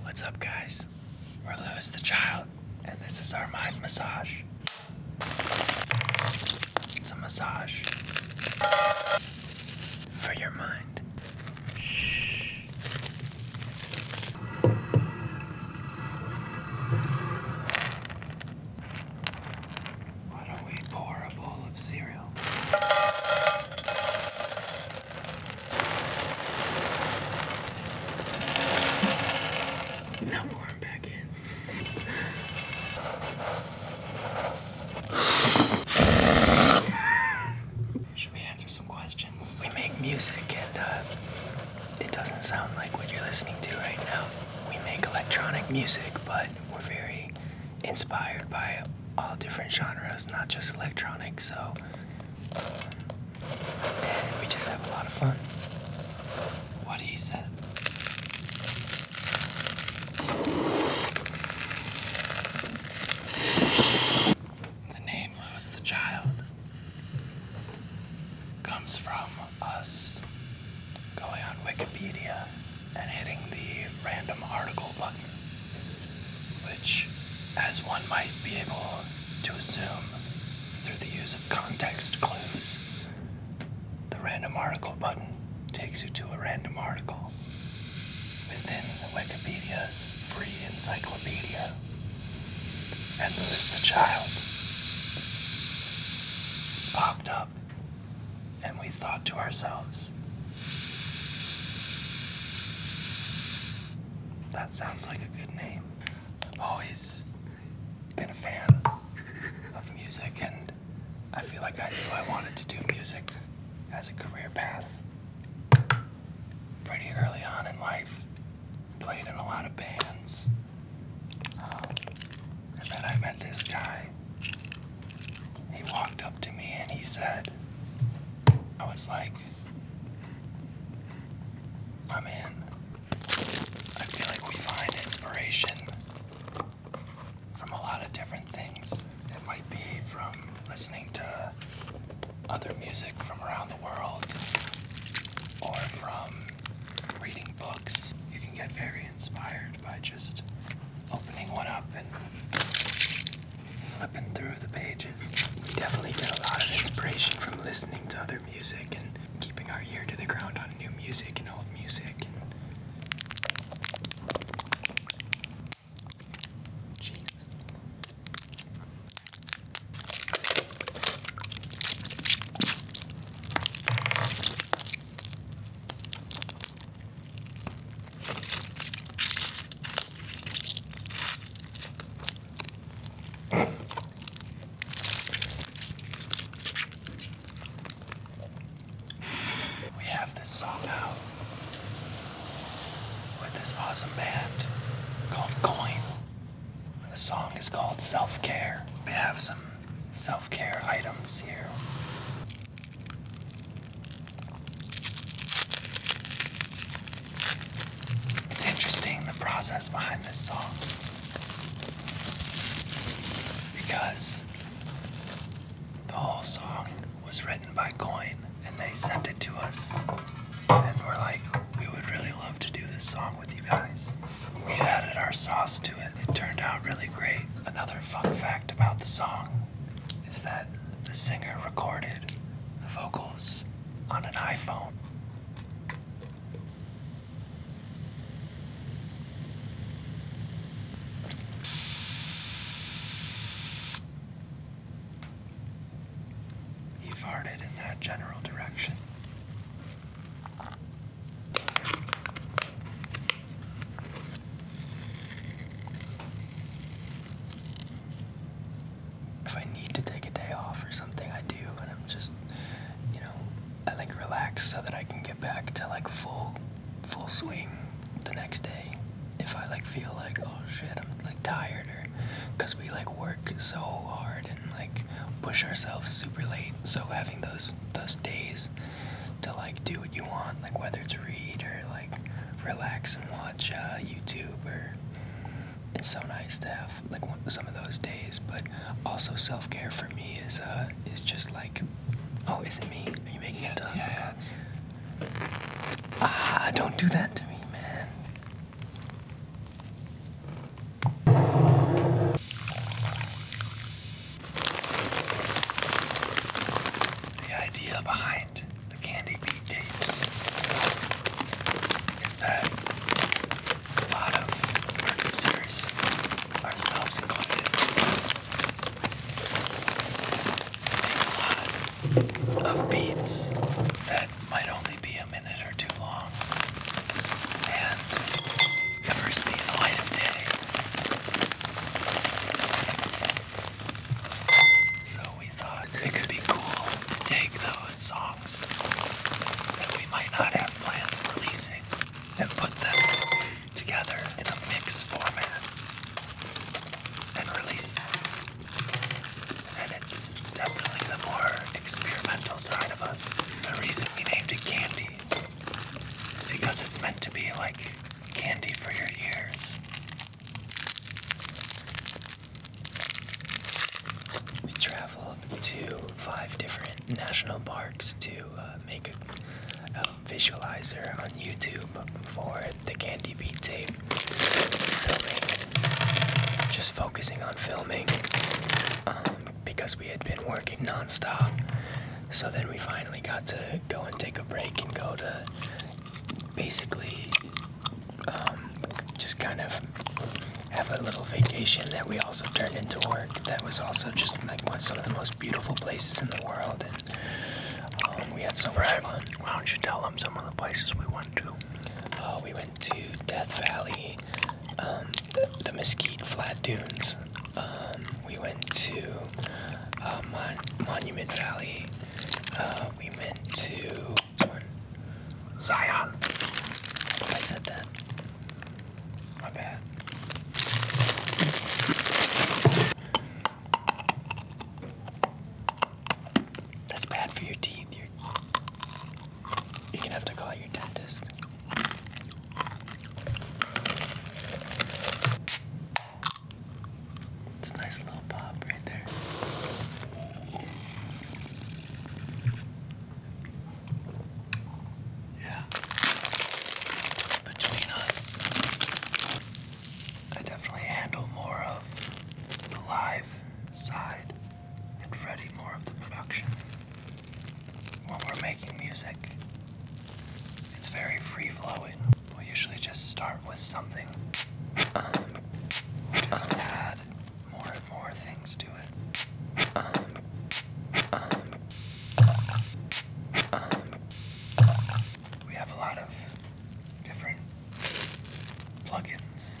What's up, guys? We're Lewis the Child, and this is our mind massage. It's a massage for your mind. Shh. Why don't we pour a bowl of cereal? Now pour them back in. Should we answer some questions? We make music and uh, it doesn't sound like what you're listening to right now. We make electronic music, but we're very inspired by all different genres, not just electronic. So we just have a lot of fun. What he said. The name Lewis the Child comes from us going on Wikipedia and hitting the random article button which, as one might be able to assume through the use of context clues, the random article button takes you to a random article within Wikipedia's free encyclopedia and Lewis the Child popped up, and we thought to ourselves, that sounds like a good name. I've always been a fan of music, and I feel like I knew I wanted to do music as a career path pretty early on in life. Played in a lot of bands. Um, and then I met this guy he walked up to me and he said, I was like, I'm in. I feel like we find inspiration from a lot of different things. It might be from listening to other music from around the world or from reading books. You can get very inspired by just opening one up and flipping through the pages. We definitely get a lot of inspiration from listening to other music and keeping our ear to the ground on new music and old music. Jesus. We have this song now with this awesome band called Coin. The song is called Self Care. We have some self care items here. It's interesting the process behind this song because the whole song was written by Coin and they sent it to us and we're like, we would really love to do this song with you guys. We added our sauce to it it turned out really great. Another fun fact about the song is that the singer recorded the vocals on an iPhone. He farted in that general direction. If I need to take a day off or something, I do, and I'm just, you know, I like relax so that I can get back to like full, full swing the next day. If I like feel like, oh shit, I'm like tired, or because we like work so hard and like push ourselves super late, so having those those days to like do what you want, like whether it's read or like relax and watch uh, YouTube. Or it's so nice to have like some of those days. But also self care for me is uh is just like, oh, is it me? Are you making yeah, a ton? Yeah, it's... Ah, don't do that to me, man. The idea behind the candy beat tapes is that a lot of our users, ourselves included, make a lot of beats that might only be a minute or two long down and the light of day. So we thought it could be cool to take those songs that we might not have plans of releasing and put them together in a mix format and release them. And it's definitely the more experimental side of us. The reason we named it Candy it's because it's meant to be like candy for your ears. We traveled to five different national parks to uh, make a, visualizer on YouTube for the Candy Beat tape. just focusing on filming. Um, because we had been working nonstop. So then we finally got to go and take a break and go to basically um, just kind of have a little vacation that we also turned into work. That was also just like one, some of the most beautiful places in the world, um, we had some. Fred, Why don't you tell them some of the places we went to? Uh, we went to Death Valley, um, the, Mesquite Flat Dunes. Um, we went to uh, Monument Valley. Uh, we went to Zion. I said that. My bad. That's bad for your teeth. You're gonna have to call your dentist. It's a nice little pop right there. Yeah. Between us, I definitely handle more of the live side and Freddie more of the production. When we're making music, it's very free flowing. We'll usually just start with something. Um, just add more and more things to it. We have a lot of different plugins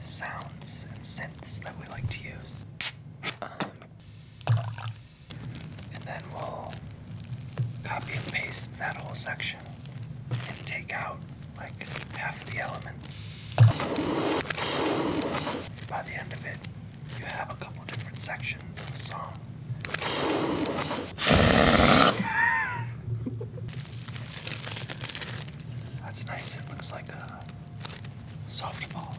sounds and synths that we like to use. Um, and then we'll copy and paste that whole section and take out like half the elements. By the end of it, you have a couple different sections of the song. That's nice. It looks like a softball.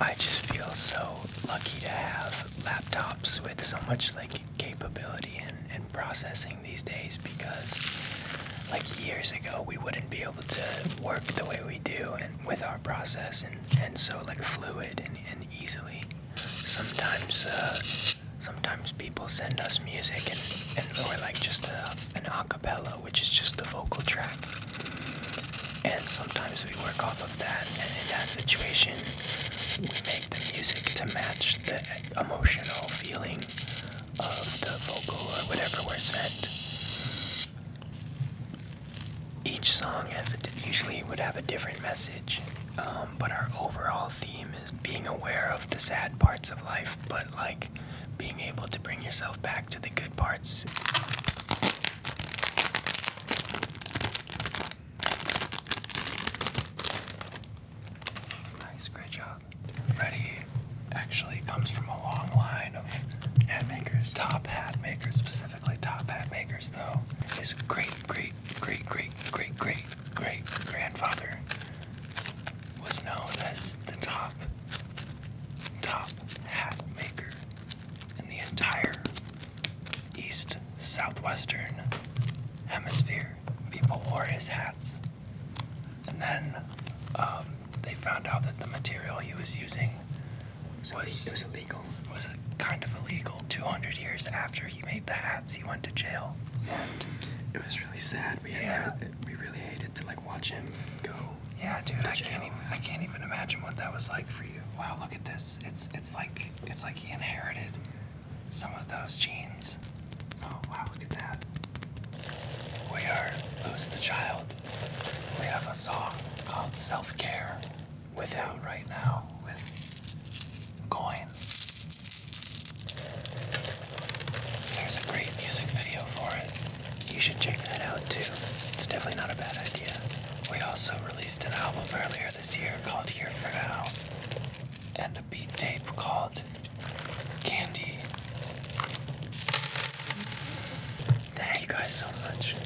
I just feel so lucky to have laptops with so much like capability and, and processing these days because like years ago we wouldn't be able to work the way we do and with our process and, and so like fluid and, easily. Sometimes uh, sometimes people send us music and, or like just a, an acapella, which is just the vocal track. And sometimes we work off of that, and in that situation, we make the music to match the emotional feeling of the vocal or whatever we're sent. Each song usually would have a different message. Um, but our overall theme is being aware of the sad parts of life, but like being able to bring yourself back to the good parts. Nice, great job. Freddie actually comes from a long line of hat makers, top hat makers, specifically top hat makers, though. His great, great, great, great, great, great great grandfather was known as the top top hat maker in the entire east southwestern hemisphere. People wore his hats. And then um, they found out that the material he was using was, was illegal. Was kind of illegal. 200 years after he made the hats he went to jail and it was really sad we yeah. had to, we really hated to like watch him go yeah dude i can't even i can't even imagine what that was like for you wow look at this it's it's like it's like he inherited some of those genes oh wow look at that we are lose the child we have a song called self-care without right now with coins. There's a great music video for it. You should check that out too. It's definitely not a bad idea. We also released an album earlier this year called Here for Now and a beat tape called Candy. Thank you guys so much.